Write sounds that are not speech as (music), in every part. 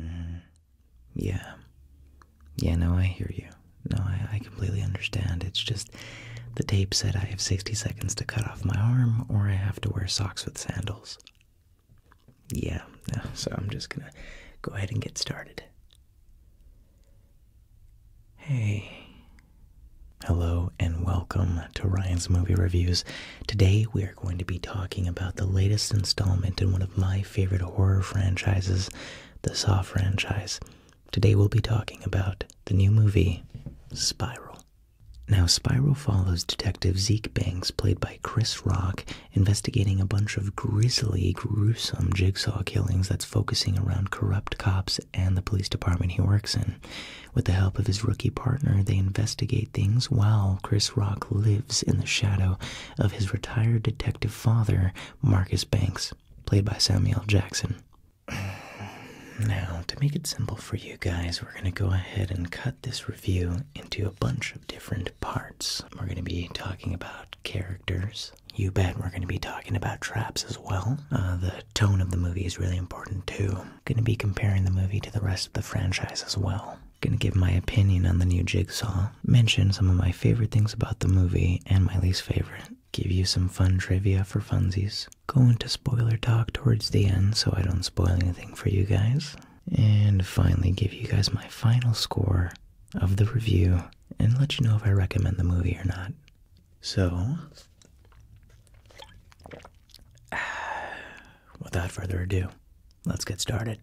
Mm-hmm. yeah. Yeah, no, I hear you. No, I, completely understand. It's just the tape said I have 60 seconds to cut off my arm or I have to wear socks with sandals. Yeah, so I'm just gonna go ahead and get started. Hey. Hello and welcome to Ryan's Movie Reviews. Today, we are going to be talking about the latest installment in one of my favorite horror franchises, the Saw franchise. Today, we'll be talking about the new movie, Spiral. Now, Spiral follows Detective Zeke Banks, played by Chris Rock, investigating a bunch of grisly, gruesome jigsaw killings that's focusing around corrupt cops and the police department he works in. With the help of his rookie partner, they investigate things while Chris Rock lives in the shadow of his retired detective father, Marcus Banks, played by Samuel Jackson. Now, to make it simple for you guys, we're going to go ahead and cut this review into a bunch of different parts. We're going to be talking about characters. You bet we're going to be talking about traps as well. Uh, the tone of the movie is really important too. Going to be comparing the movie to the rest of the franchise as well. Gonna give my opinion on the new Jigsaw, mention some of my favorite things about the movie and my least favorite, give you some fun trivia for funsies, go into spoiler talk towards the end so I don't spoil anything for you guys, and finally give you guys my final score of the review and let you know if I recommend the movie or not. So, (sighs) without further ado, Let's get started.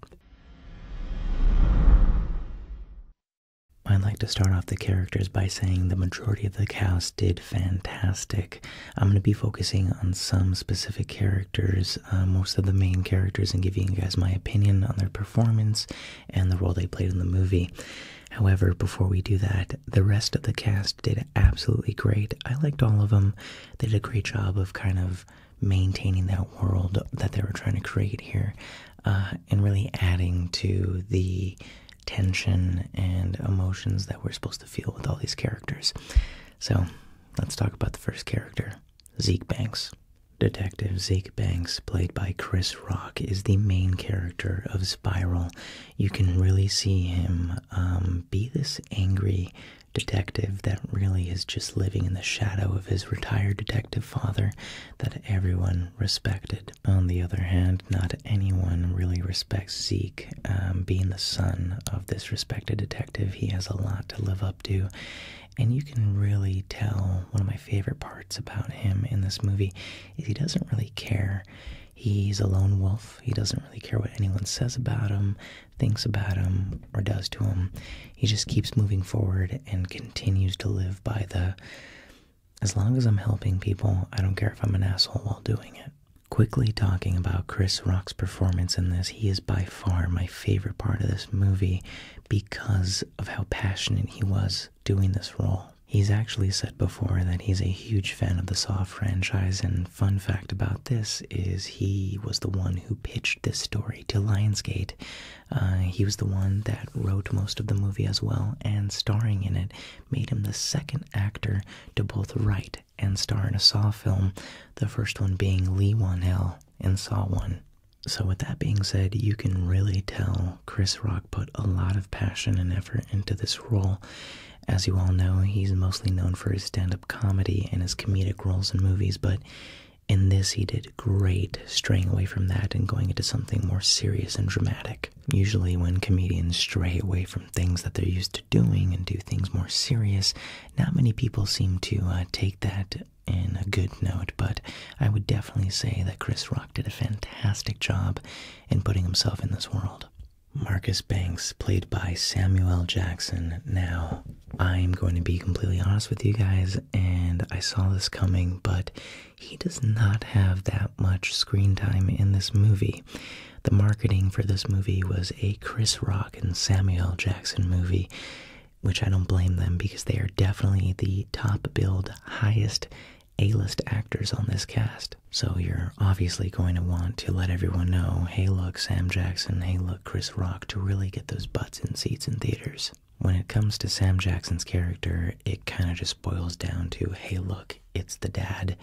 I'd like to start off the characters by saying the majority of the cast did fantastic. I'm going to be focusing on some specific characters, uh, most of the main characters, and giving you guys my opinion on their performance and the role they played in the movie. However, before we do that, the rest of the cast did absolutely great. I liked all of them. They did a great job of kind of maintaining that world that they were trying to create here uh, and really adding to the tension and emotions that we're supposed to feel with all these characters. So let's talk about the first character, Zeke Banks. Detective Zeke Banks, played by Chris Rock, is the main character of Spiral. You can really see him um, be this angry detective that really is just living in the shadow of his retired detective father that everyone respected. On the other hand, not anyone really respects Zeke. Um, being the son of this respected detective, he has a lot to live up to. And you can really tell one of my favorite parts about him in this movie is he doesn't really care. He's a lone wolf. He doesn't really care what anyone says about him thinks about him or does to him. He just keeps moving forward and continues to live by the as long as I'm helping people, I don't care if I'm an asshole while doing it. Quickly talking about Chris Rock's performance in this, he is by far my favorite part of this movie because of how passionate he was doing this role. He's actually said before that he's a huge fan of the Saw franchise and fun fact about this is he was the one who pitched this story to Lionsgate. Uh, he was the one that wrote most of the movie as well, and starring in it made him the second actor to both write and star in a Saw film, the first one being Lee Wan Hell in Saw 1. So, with that being said, you can really tell Chris Rock put a lot of passion and effort into this role. As you all know, he's mostly known for his stand comedy and his comedic roles in movies, but in this he did great straying away from that and going into something more serious and dramatic. Usually, when comedians stray away from things that they're used to doing and do things more serious, not many people seem to uh, take that in a good note, but I would definitely say that Chris Rock did a fantastic job in putting himself in this world. Marcus Banks, played by Samuel Jackson, now I'm going to be completely honest with you guys, and I saw this coming, but he does not have that much screen time in this movie. The marketing for this movie was a Chris Rock and Samuel Jackson movie, which I don't blame them because they are definitely the top billed, highest A list actors on this cast. So you're obviously going to want to let everyone know hey, look, Sam Jackson, hey, look. Chris Rock to really get those butts in seats in theaters. When it comes to Sam Jackson's character, it kind of just boils down to hey, look, it's the dad.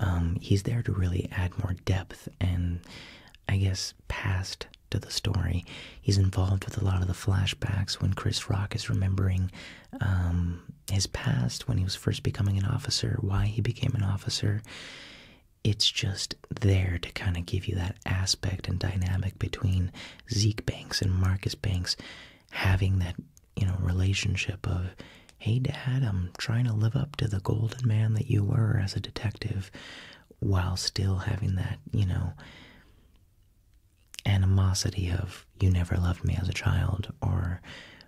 Um, he's there to really add more depth and, I guess, past to the story. He's involved with a lot of the flashbacks when Chris Rock is remembering um, his past, when he was first becoming an officer, why he became an officer it's just there to kind of give you that aspect and dynamic between Zeke Banks and Marcus Banks having that, you know, relationship of, hey, dad, I'm trying to live up to the golden man that you were as a detective while still having that, you know, animosity of, you never loved me as a child, or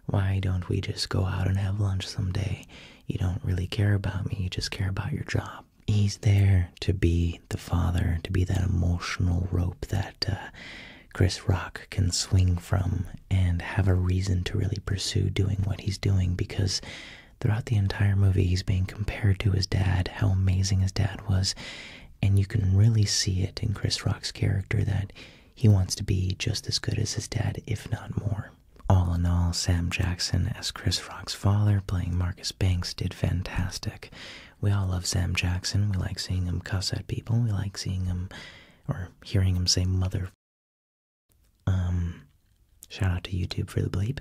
why don't we just go out and have lunch someday? you don't really care about me, you just care about your job. He's there to be the father, to be that emotional rope that uh, Chris Rock can swing from and have a reason to really pursue doing what he's doing because throughout the entire movie, he's being compared to his dad, how amazing his dad was. And you can really see it in Chris Rock's character that he wants to be just as good as his dad, if not more. All in all, Sam Jackson as Chris Frog's father, playing Marcus Banks, did fantastic. We all love Sam Jackson. We like seeing him cuss at people. We like seeing him or hearing him say mother. Um, shout out to YouTube for the bleep.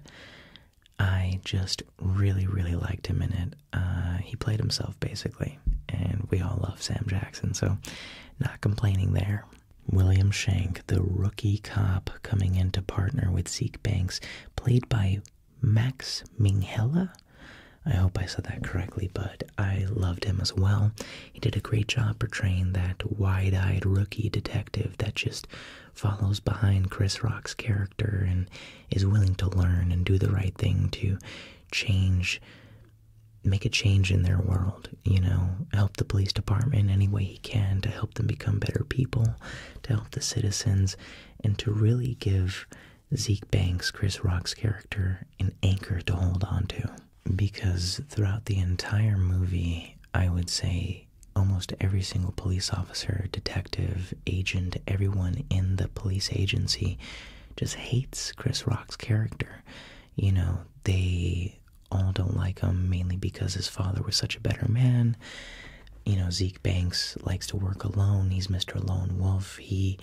I just really, really liked him in it. Uh, he played himself basically, and we all love Sam Jackson, so not complaining there. William Shank, the rookie cop coming in to partner with Zeke Banks, played by Max Minghella. I hope I said that correctly, but I loved him as well. He did a great job portraying that wide eyed rookie detective that just follows behind Chris Rock's character and is willing to learn and do the right thing to change, make a change in their world you know, help the police department any way he can to help them become better people, to help the citizens, and to really give Zeke Banks, Chris Rock's character, an anchor to hold on to. Because throughout the entire movie, I would say almost every single police officer, detective, agent, everyone in the police agency just hates Chris Rock's character. You know, they all don't like him, mainly because his father was such a better man. You know, Zeke Banks likes to work alone. He's Mr. Lone Wolf. He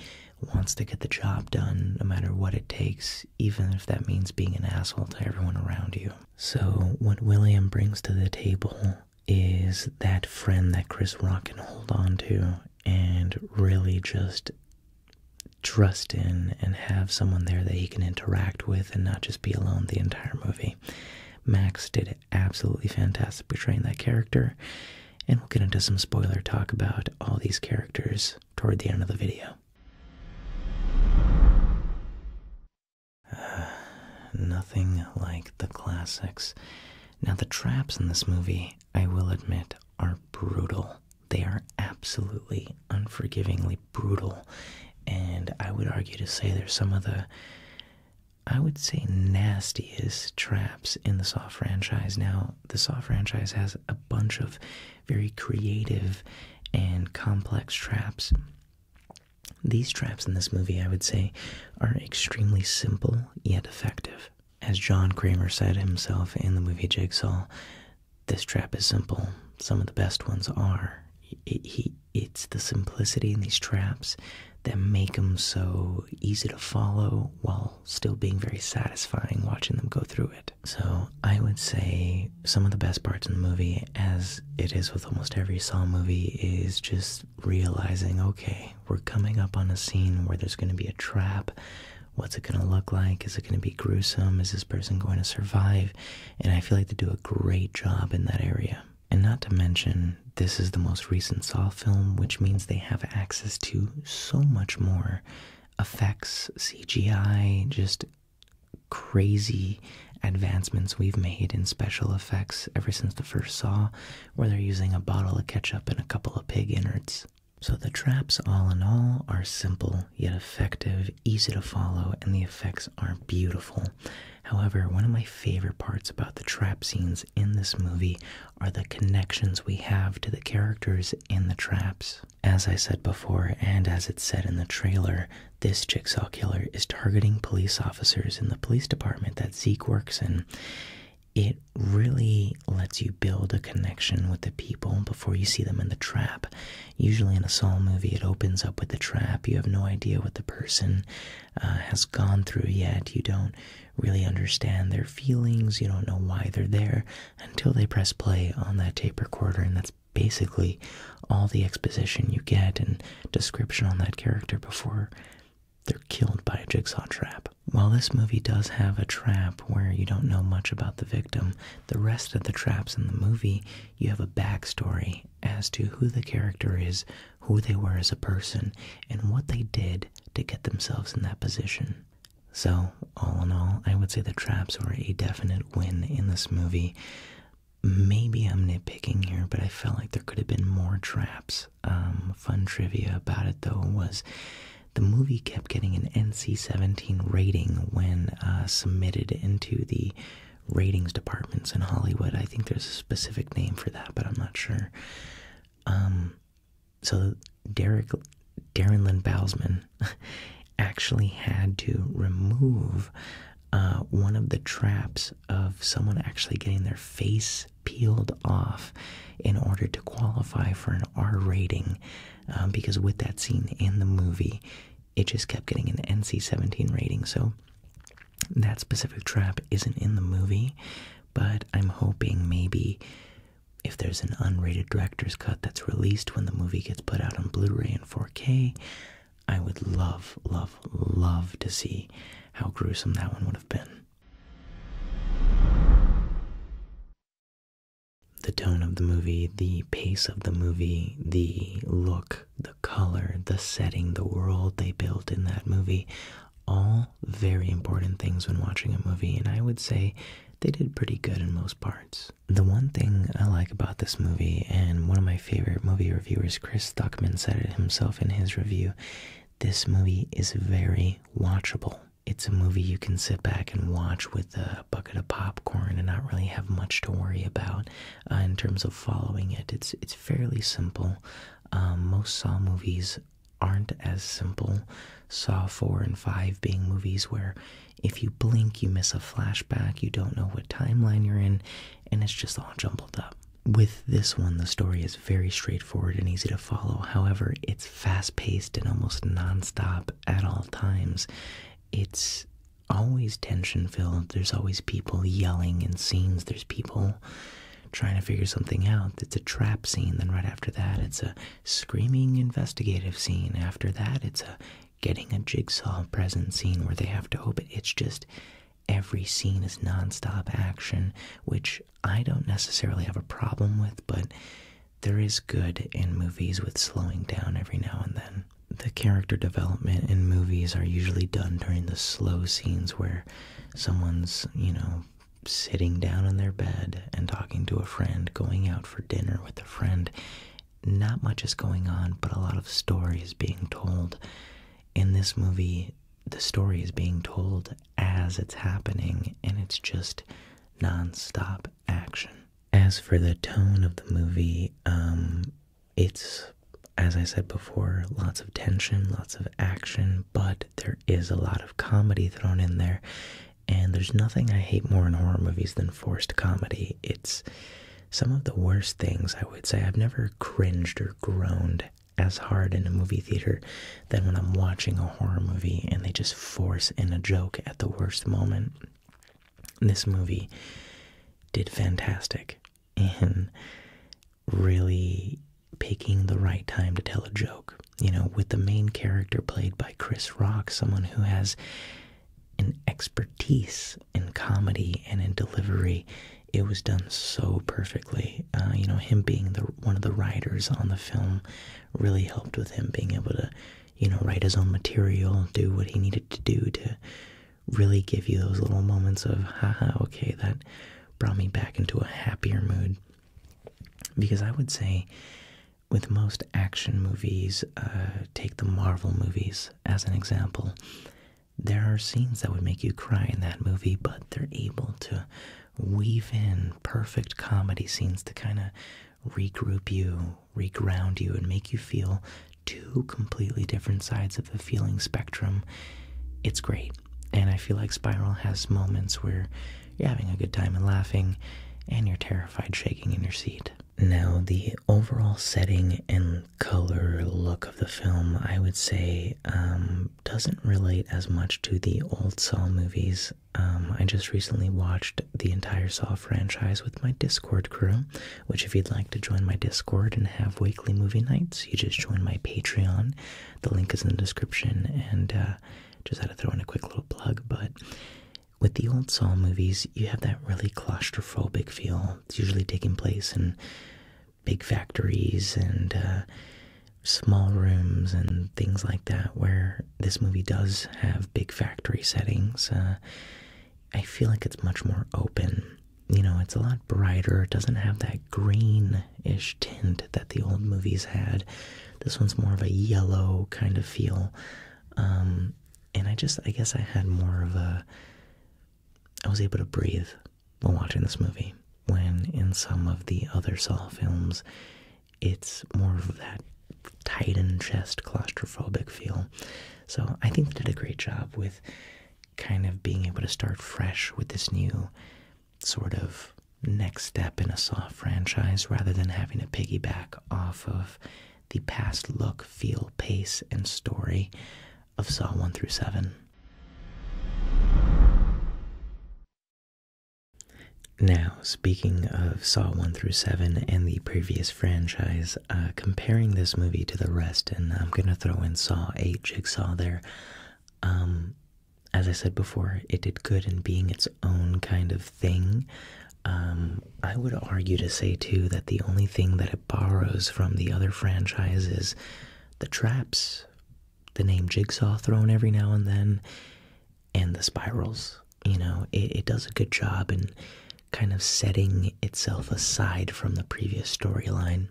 wants to get the job done no matter what it takes, even if that means being an asshole to everyone around you. So, what William brings to the table is that friend that Chris Rock can hold on to and really just trust in and have someone there that he can interact with and not just be alone the entire movie. Max did absolutely fantastic portraying that character, and we'll get into some spoiler talk about all these characters toward the end of the video. (sighs) nothing like the classics. Now, the traps in this movie, I will admit, are brutal. They are absolutely unforgivingly brutal, and I would argue to say they're some of the, I would say, nastiest traps in the Saw franchise. Now, the Saw franchise has a bunch of very creative and complex traps. These traps in this movie, I would say, are extremely simple yet effective. As John Kramer said himself in the movie Jigsaw, this trap is simple. Some of the best ones are. it's the simplicity in these traps that make them so easy to follow while still being very satisfying watching them go through it. So I would say some of the best parts in the movie, as it is with almost every Saw movie, is just realizing okay, we're coming up on a scene where there's going to be a trap What's it going to look like? Is it going to be gruesome? Is this person going to survive? And I feel like they do a great job in that area. And not to mention, this is the most recent Saw film, which means they have access to so much more effects, CGI, just crazy advancements we've made in special effects ever since the first Saw, where they're using a bottle of ketchup and a couple of pig innards. So the traps, all in all, are simple yet effective easy to follow, and the effects are beautiful. However, one of my favorite parts about the trap scenes in this movie are the connections we have to the characters in the traps. As I said before, and as it said in the trailer, this jigsaw killer is targeting police officers in the police department that Zeke works in. It really lets you build a connection with the people before you see them in the trap. Usually, in a Saw movie, it opens up with a trap. You have no idea what the person uh, has gone through yet. You don't really understand their feelings. You don't know why they're there until they press play on that tape recorder, and that's basically all the exposition you get and description on that character before they're killed by a jigsaw trap. While this movie does have a trap where you don't know much about the victim, the rest of the traps in the movie, you have a backstory as to who the character is, who they were as a person, and what they did to get themselves in that position. So, all in all, I would say the traps were a definite win in this movie. Maybe I'm nitpicking here, but I felt like there could have been more traps. Um, fun trivia about it though was the movie kept getting an NC 17 rating when uh, submitted into the ratings departments in Hollywood. I think there's a specific name for that, but I'm not sure. Um, so Derek, Darren Lynn Bowlesman, (laughs) actually had to remove uh, one of the traps of someone actually getting their face peeled off in order to qualify for an R rating um, because with that scene in the movie, it just kept getting an NC 17 rating. So that specific trap isn't in the movie, but I'm hoping maybe if there's an unrated director's cut that's released when the movie gets put out on Blu ray and 4K, I would love, love, love to see how gruesome that one would have been. The tone of the movie, the pace of the movie, the look, the color, the setting, the world they built in that movie, all very important things when watching a movie, and I would say they did pretty good in most parts. The one thing I like about this movie, and one of my favorite movie reviewers, Chris Thuckman, said it himself in his review this movie is very watchable it's a movie you can sit back and watch with a bucket of popcorn and not really have much to worry about uh, in terms of following it. It's it's fairly simple. Um, most Saw movies aren't as simple. Saw 4 and 5 being movies where if you blink, you miss a flashback, you don't know what timeline you're in, and it's just all jumbled up. With this one, the story is very straightforward and easy to follow. However, it's fast paced and almost nonstop at all times, it's always tension filled. There's always people yelling in scenes. There's people trying to figure something out. It's a trap scene. Then, right after that, it's a screaming investigative scene. After that, it's a getting a jigsaw present scene where they have to hope. It's just every scene is nonstop action, which I don't necessarily have a problem with, but there is good in movies with slowing down every now and then. The character development in movies are usually done during the slow scenes where someone's, you know, sitting down on their bed and talking to a friend, going out for dinner with a friend. Not much is going on, but a lot of story is being told. In this movie, the story is being told as it's happening, and it's just nonstop action. As for the tone of the movie, um, it's, as I said before, lots of tension, lots of action, but there is a lot of comedy thrown in there. And there's nothing I hate more in horror movies than forced comedy. It's some of the worst things, I would say. I've never cringed or groaned as hard in a movie theater than when I'm watching a horror movie and they just force in a joke at the worst moment this movie did fantastic in really picking the right time to tell a joke. You know, with the main character played by Chris Rock, someone who has an expertise in comedy and in delivery, it was done so perfectly. Uh, you know, him being the one of the writers on the film really helped with him being able to you know, write his own material, do what he needed to do to really give you those little moments of, haha, okay, that brought me back into a happier mood. Because I would say, with most action movies, uh, take the Marvel movies as an example, there are scenes that would make you cry in that movie, but they're able to weave in perfect comedy scenes to kind of regroup you, reground you, and make you feel two completely different sides of the feeling spectrum, it's great. And I feel like Spiral has moments where you're having a good time and laughing, and you're terrified shaking in your seat. Now, the overall setting and color look of the film, I would say, um, doesn't relate as much to the old Saw movies. Um, I just recently watched the entire Saw franchise with my Discord crew, which if you'd like to join my Discord and have weekly movie nights, you just join my Patreon. The link is in the description, and uh, just had to throw in a quick little plug, but with the old Saw movies, you have that really claustrophobic feel. It's usually taking place in big factories and uh, small rooms and things like that, where this movie does have big factory settings. Uh, I feel like it's much more open. You know, it's a lot brighter. It doesn't have that greenish tint that the old movies had. This one's more of a yellow kind of feel. Um, and I just, I guess I had more of a. I was able to breathe while watching this movie. When in some of the other Saw films, it's more of that tight chest claustrophobic feel. So I think they did a great job with kind of being able to start fresh with this new sort of next step in a Saw franchise rather than having to piggyback off of the past look, feel, pace, and story of Saw 1 through 7. Now, speaking of Saw 1 through 7 and the previous franchise, uh, comparing this movie to the rest, and I'm going to throw in Saw 8 Jigsaw there. Um, as I said before, it did good in being its own kind of thing. Um, I would argue to say, too, that the only thing that it borrows from the other franchises, the traps, the name Jigsaw thrown every now and then, and the spirals. You know, it, it does a good job in kind of setting itself aside from the previous storyline.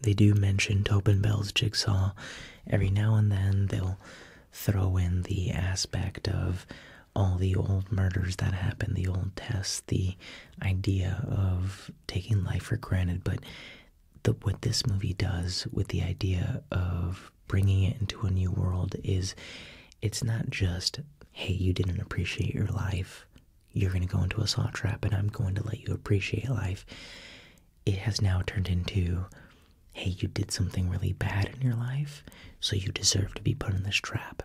They do mention Tobin Bell's jigsaw. Every now and then, they'll throw in the aspect of all the old murders that happened, the old tests, the idea of taking life for granted. But what this movie does with the idea of bringing it into a new world is it's not just, hey, you didn't appreciate your life. You're going to go into a saw trap and I'm going to let you appreciate life. It has now turned into, hey, you did something really bad in your life, so you deserve to be put in this trap.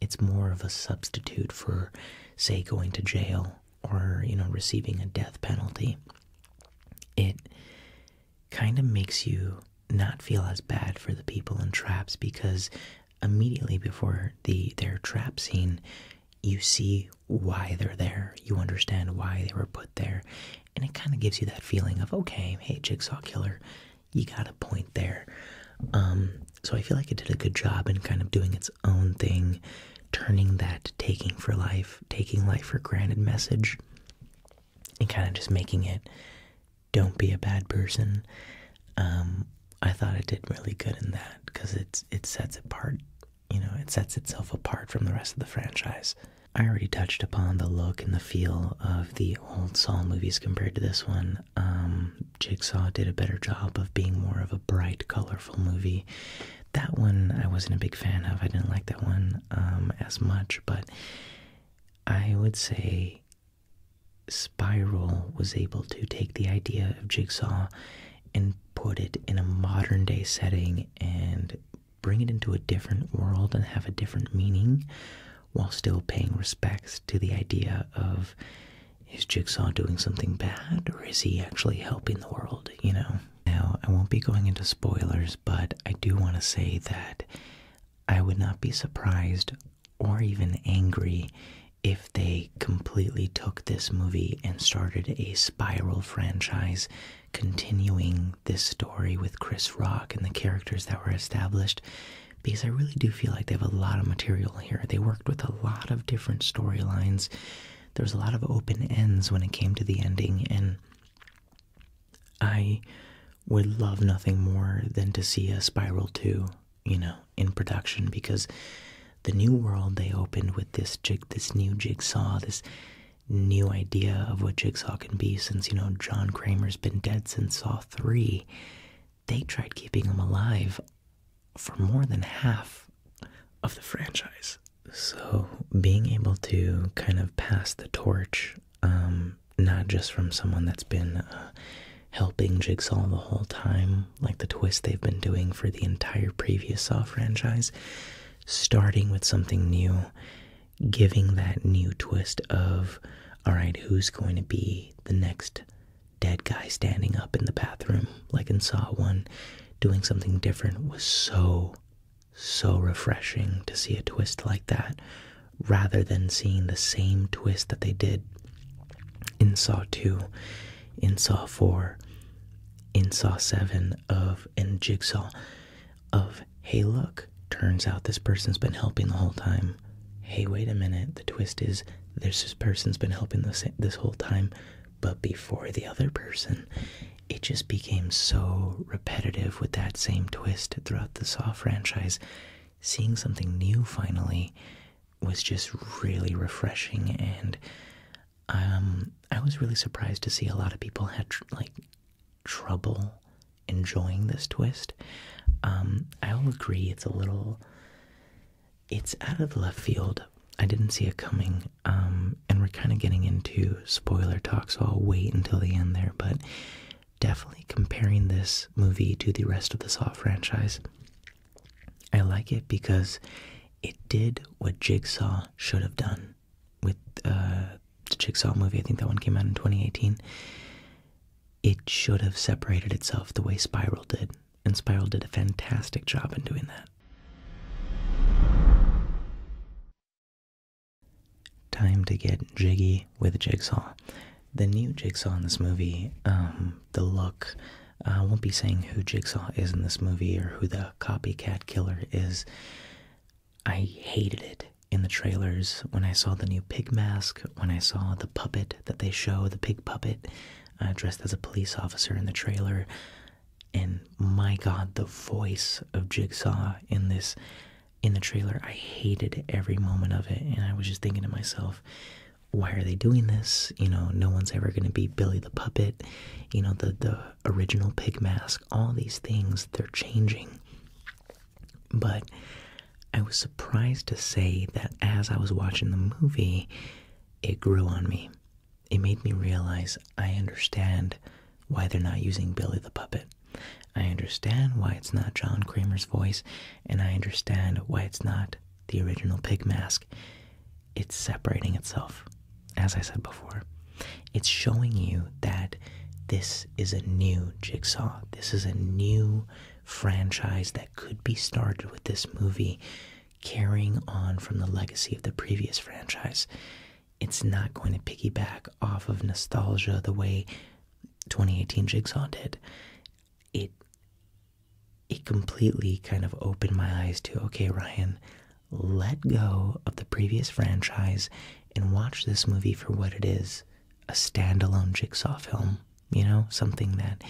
It's more of a substitute for, say, going to jail or, you know, receiving a death penalty. It kind of makes you not feel as bad for the people in traps because immediately before the their trap scene you see why they're there you understand why they were put there and it kind of gives you that feeling of okay hey jigsaw killer you got a point there um, so i feel like it did a good job in kind of doing its own thing turning that taking for life taking life for granted message and kind of just making it don't be a bad person. Um, I thought it did really good in that because it's it sets apart, you know, it sets itself apart from the rest of the franchise. I already touched upon the look and the feel of the old Saw movies compared to this one. Um, Jigsaw did a better job of being more of a bright, colorful movie. That one I wasn't a big fan of. I didn't like that one. Um, as much, but I would say Spiral was able to take the idea of Jigsaw and put it in a modern day setting and bring it into a different world and have a different meaning while still paying respects to the idea of is Jigsaw doing something bad or is he actually helping the world, you know? Now, I won't be going into spoilers, but I do want to say that I would not be surprised or even angry if they completely took this movie and started a spiral franchise continuing this story with Chris Rock and the characters that were established because I really do feel like they have a lot of material here. They worked with a lot of different storylines. There was a lot of open ends when it came to the ending and I would love nothing more than to see a Spiral 2, you know, in production because the new world they opened with this jig this new jigsaw, this new idea of what jigsaw can be since, you know, John Kramer's been dead since Saw 3. They tried keeping him alive for more than half of the franchise. So, being able to kind of pass the torch, um, not just from someone that's been uh, helping Jigsaw the whole time, like the twist they've been doing for the entire previous Saw franchise, starting with something new, giving that new twist of, all right, who's going to be the next dead guy standing up in the bathroom, like in Saw 1, doing something different was so so refreshing to see a twist like that rather than seeing the same twist that they did in Saw 2, in Saw 4, in Saw 7 of and Jigsaw of hey look, turns out this person's been helping the whole time. Hey, wait a minute, the twist is this person's been helping this this whole time but before the other person it just became so repetitive with that same twist throughout the Saw franchise. Seeing something new finally was just really refreshing, and um, I was really surprised to see a lot of people had like trouble enjoying this twist. Um, I'll agree, it's a little, it's out of the left field. I didn't see it coming um, and we're kind of getting into spoiler talk, so I'll wait until the end there. But definitely comparing this movie to the rest of the Saw franchise, I like it because it did what Jigsaw should have done with uh, the Jigsaw movie. I think that one came out in 2018. It should have separated itself the way Spiral did, and Spiral did a fantastic job in doing that. Time to get jiggy with Jigsaw. The new Jigsaw in this movie, um, the look, uh, I won't be saying who Jigsaw is in this movie or who the copycat killer is. I hated it in the trailers when I saw the new pig mask, when I saw the puppet that they show, the pig puppet uh, dressed as a police officer in the trailer and my god the voice of jigsaw in this in the trailer i hated every moment of it and i was just thinking to myself why are they doing this you know no one's ever going to be billy the puppet you know the the original pig mask all these things they're changing but i was surprised to say that as i was watching the movie it grew on me it made me realize I understand why they're not using Billy the Puppet. I understand why it's not John Kramer's voice, and I understand why it's not the original pig mask. It's separating itself, as I said before. It's showing you that this is a new jigsaw. This is a new franchise that could be started with this movie, carrying on from the legacy of the previous franchise it's not going to piggyback off of nostalgia the way 2018 Jigsaw did. It it completely kind of opened my eyes to okay, Ryan, let go of the previous franchise and watch this movie for what it is, a standalone Jigsaw film, you know, something that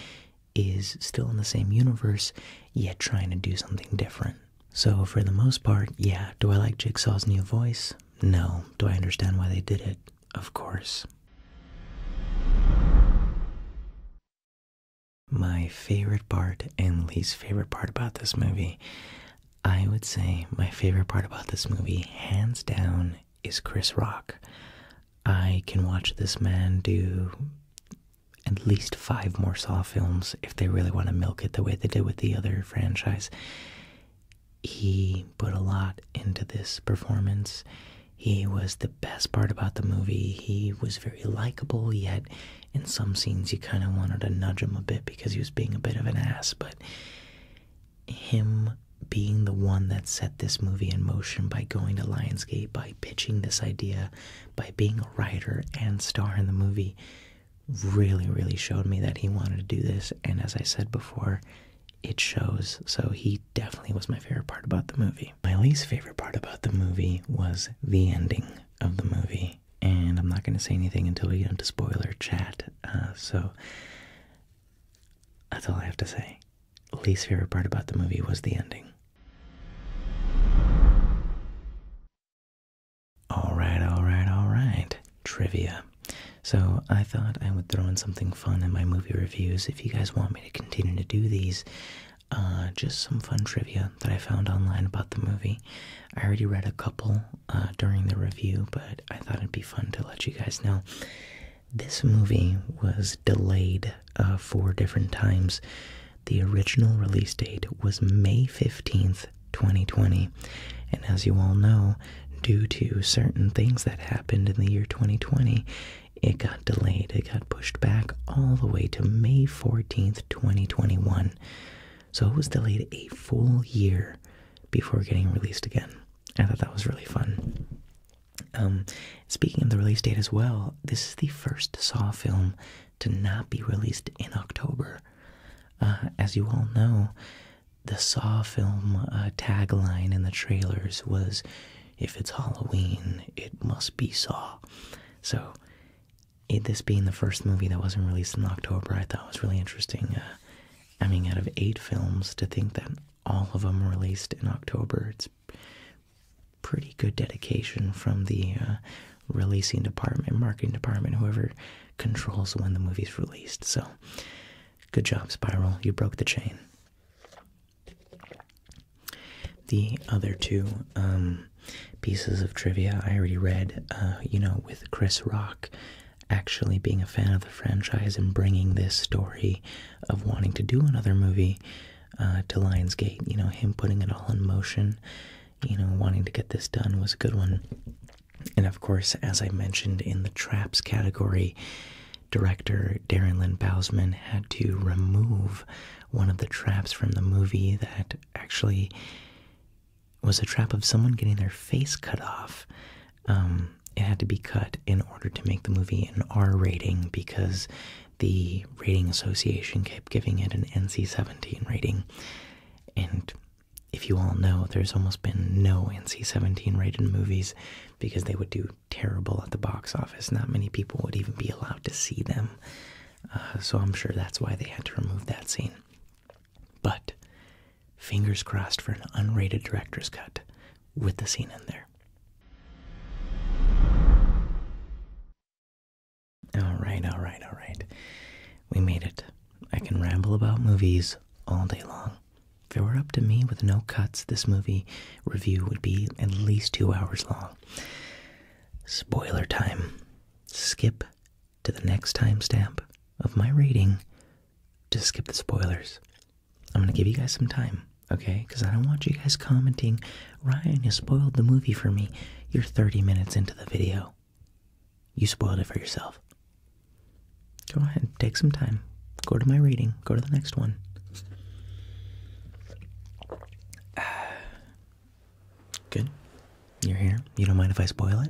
is still in the same universe yet trying to do something different. So, for the most part, yeah. Do I like Jigsaw's new voice? No. Do I understand why they did it? Of course. My favorite part and least favorite part about this movie, I would say my favorite part about this movie, hands down, is Chris Rock. I can watch this man do at least five more Saw films if they really want to milk it the way they did with the other franchise. He put a lot into this performance. He was the best part about the movie. He was very likable, yet in some scenes you kind of wanted to nudge him a bit because he was being a bit of an ass. But him being the one that set this movie in motion by going to Lionsgate, by pitching this idea, by being a writer and star in the movie, really, really showed me that he wanted to do this. And as I said before, it shows. So he definitely was my favorite part about the movie. My least favorite part about the movie was the ending of the movie. And I'm not going to say anything until we get into spoiler chat. Uh, so that's all I have to say. Least favorite part about the movie was the ending. All right, all right, all right. Trivia. So, I thought I would throw in something fun in my movie reviews if you guys want me to continue to do these. Uh, just some fun trivia that I found online about the movie. I already read a couple uh, during the review, but I thought it'd be fun to let you guys know. This movie was delayed uh, four different times the original release date was May 15th, 2020. And as you all know, due to certain things that happened in the year 2020, it got delayed. It got pushed back all the way to May 14th, 2021. So it was delayed a full year before getting released again. I thought that was really fun. Um, speaking of the release date as well, this is the first Saw film to not be released in October. Uh, as you all know, the Saw film uh, tagline in the trailers was, if it's Halloween, it must be Saw. So, this being the first movie that wasn't released in October, I thought was really interesting. Uh, I mean, out of eight films, to think that all of them released in October, it's pretty good dedication from the releasing department, marketing department, whoever controls when the movie's released. So, good job, Spiral. You broke the chain. The other two um, pieces of trivia I already read, uh, you know, with Chris Rock actually being a fan of the franchise and bringing this story of wanting to do another movie uh, to Lionsgate, you know, him putting it all in motion you know, wanting to get this done was a good one. And of course, as I mentioned in the traps category, director Darren Lynn Bousman had to remove one of the traps from the movie that actually was a trap of someone getting their face cut off. Um, it had to be cut in order to make the movie an R rating because the rating association kept giving it an NC 17 rating. And if you all know, there's almost been no NC 17 rated movies because they would do terrible at the box office. Not many people would even be allowed to see them. Uh, so I'm sure that's why they had to remove that scene. But fingers crossed for an unrated director's cut with the scene in there. All right, all right, all right. We made it. I can ramble about movies all day long. If it were up to me with no cuts, this movie review would be at least two hours long. Spoiler time. Skip to the next timestamp of my rating to skip the spoilers. I'm going to give you guys some time, okay? Because I don't want you guys commenting Ryan, you spoiled the movie for me. You're 30 minutes into the video. You spoiled it for yourself. Go ahead, and take some time. Go to my reading, go to the next one. (sighs) Good. You're here. You don't mind if I spoil it?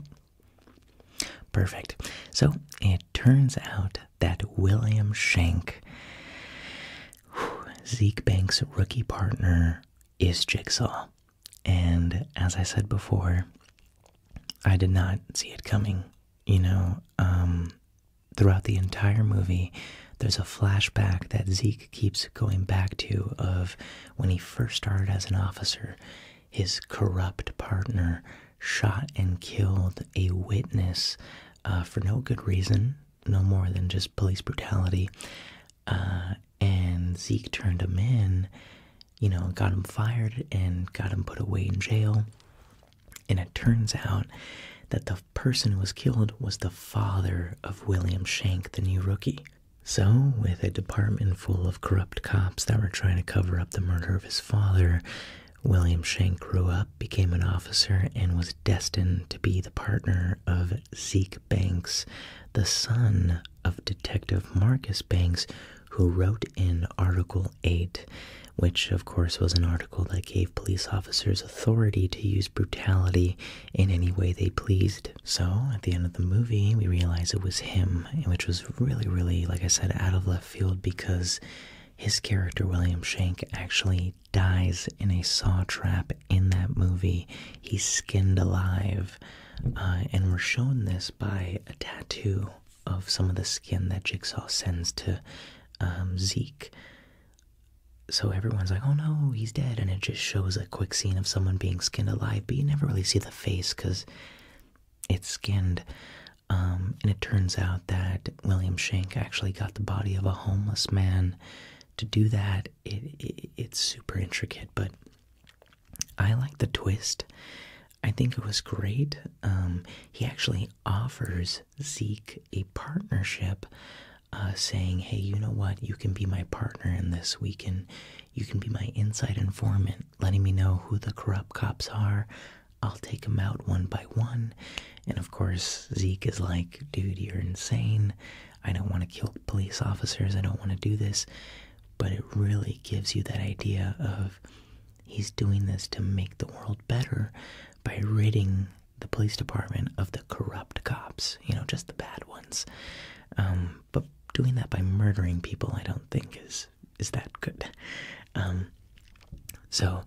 Perfect. So it turns out that William Shank, Zeke Banks' rookie partner, is Jigsaw. And as I said before, I did not see it coming. You know, um, throughout the entire movie, there's a flashback that Zeke keeps going back to of when he first started as an officer. His corrupt partner shot and killed a witness uh, for no good reason, no more than just police brutality. Uh, and Zeke turned him in, you know, got him fired and got him put away in jail. And it turns out that the person who was killed was the father of William Shank, the new rookie. So, with a department full of corrupt cops that were trying to cover up the murder of his father, William Shank grew up, became an officer, and was destined to be the partner of Zeke Banks, the son of Detective Marcus Banks, who wrote in Article 8, which of course was an article that gave police officers authority to use brutality in any way they pleased. So at the end of the movie, we realize it was him, which was really, really, like I said, out of left field because his character, William Shank, actually dies in a saw trap in that movie, he's skinned alive, uh, and we're shown this by a tattoo of some of the skin that Jigsaw sends to um, Zeke. So everyone's like, oh no, he's dead. And it just shows a quick scene of someone being skinned alive, but you never really see the face because it's skinned. Um, and it turns out that William Shank actually got the body of a homeless man to do that it, it's super intricate, but I like the twist. I think it was great. Um, he actually offers Zeke a partnership, uh, saying, "Hey, you know what? You can be my partner in this. We can, you can be my inside informant, letting me know who the corrupt cops are. I'll take them out one by one." And of course, Zeke is like, "Dude, you're insane. I don't want to kill police officers, I don't want to do this, but it really gives you that idea of he's doing this to make the world better by ridding the police department of the corrupt cops, you know, just the bad ones. Um, but doing that by murdering people, I don't think is is that good. Um, so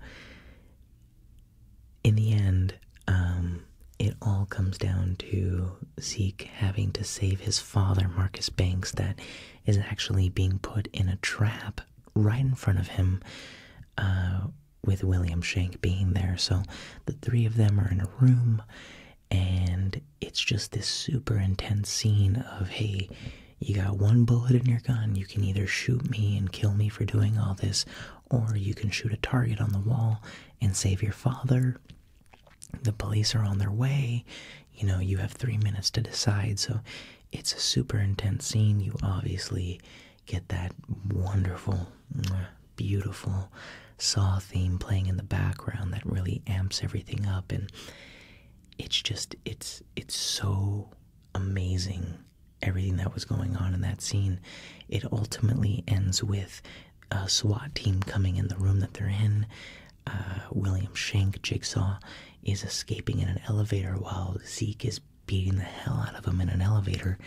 in the end, um, it all comes down to Zeke having to save his father, Marcus Banks, that is actually being put in a trap right in front of him, uh, with William Shank being there. So the three of them are in a room, and it's just this super intense scene of, hey, you got one bullet in your gun. You can either shoot me and kill me for doing all this, or you can shoot a target on the wall and save your father. The police are on their way. You know, you have three minutes to decide. So it's a super intense scene. You obviously get that wonderful, beautiful Saw theme playing in the background that really amps everything up. And it's just, it's, it's so amazing everything that was going on in that scene it ultimately ends with a SWAT team coming in the room that they're in. Uh, William Shank, Jigsaw, is escaping in an elevator while Zeke is beating the hell out of him in an elevator.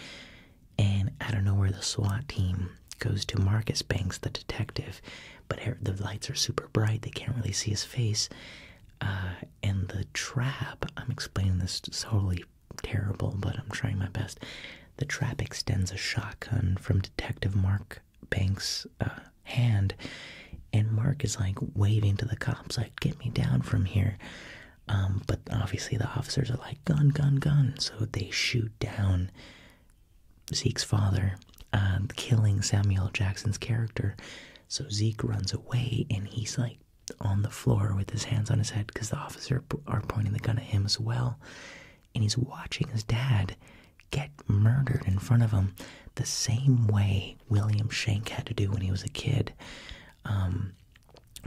And I don't know where the SWAT team goes to Marcus Banks, the detective, but er, the lights are super bright. They can't really see his face. Uh, and the trap, I'm explaining this totally terrible, but I'm trying my best. The trap extends a shotgun from Detective Mark Banks' uh, hand, and Mark is like waving to the cops, like, get me down from here. Um, but obviously, the officers are like, gun, gun, gun. So they shoot down Zeke's father, um, killing Samuel Jackson's character. So Zeke runs away, and he's like on the floor with his hands on his head because the officer are pointing the gun at him as well. And he's watching his dad get murdered in front of him the same way William Shank had to do when he was a kid. Um,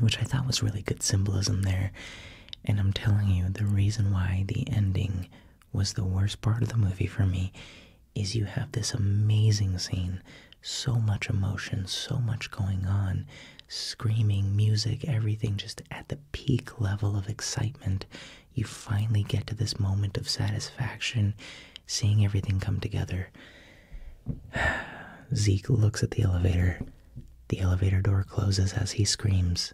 which I thought was really good symbolism there. And I'm telling you, the reason why the ending was the worst part of the movie for me is you have this amazing scene, so much emotion, so much going on, screaming, music, everything just at the peak level of excitement. You finally get to this moment of satisfaction, seeing everything come together. (sighs) Zeke looks at the elevator. The elevator door closes as he screams,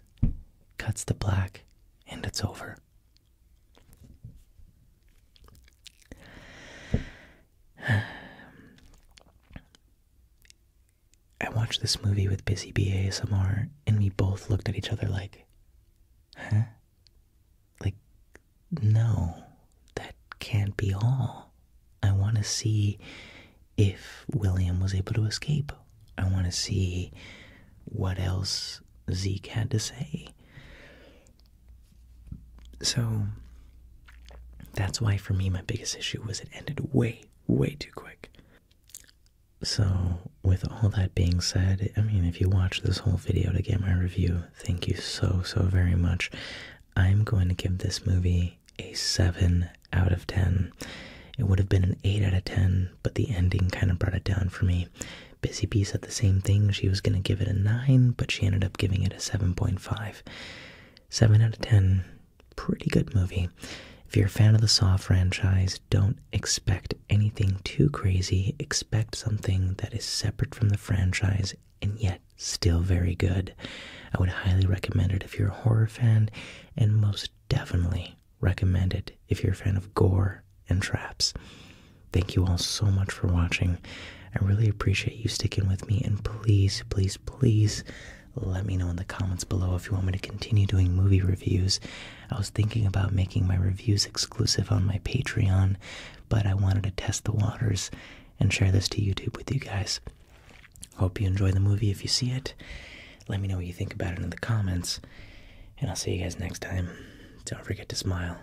cuts to black, and it's over. (sighs) I watched this movie with Busy Bee and we both looked at each other like, huh? Like, no, that can't be all. I want to see if William was able to escape. I want to see what else Zeke had to say. So that's why, for me, my biggest issue was it ended way, way too quick. So, with all that being said, I mean, if you watch this whole video to get my review, thank you so, so very much. I'm going to give this movie a 7 out of 10. It would have been an 8 out of 10, but the ending kind of brought it down for me. Busy Bee said the same thing. She was going to give it a 9, but she ended up giving it a 7.5. 7 out of 10 Pretty good movie. If you're a fan of the Saw franchise, don't expect anything too crazy. Expect something that is separate from the franchise and yet still very good. I would highly recommend it if you're a horror fan, and most definitely recommend it if you're a fan of gore and traps. Thank you all so much for watching. I really appreciate you sticking with me, and please, please, please let me know in the comments below if you want me to continue doing movie reviews. I was thinking about making my reviews exclusive on my Patreon, but I wanted to test the waters and share this to YouTube with you guys. Hope you enjoy the movie if you see it. Let me know what you think about it in the comments, and I'll see you guys next time. Don't forget to smile.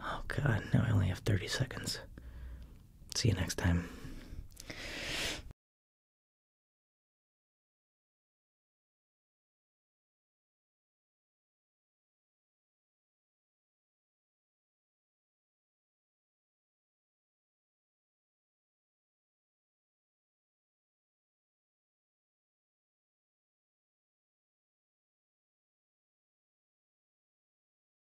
Oh god, now I only have 30 seconds. See you next time.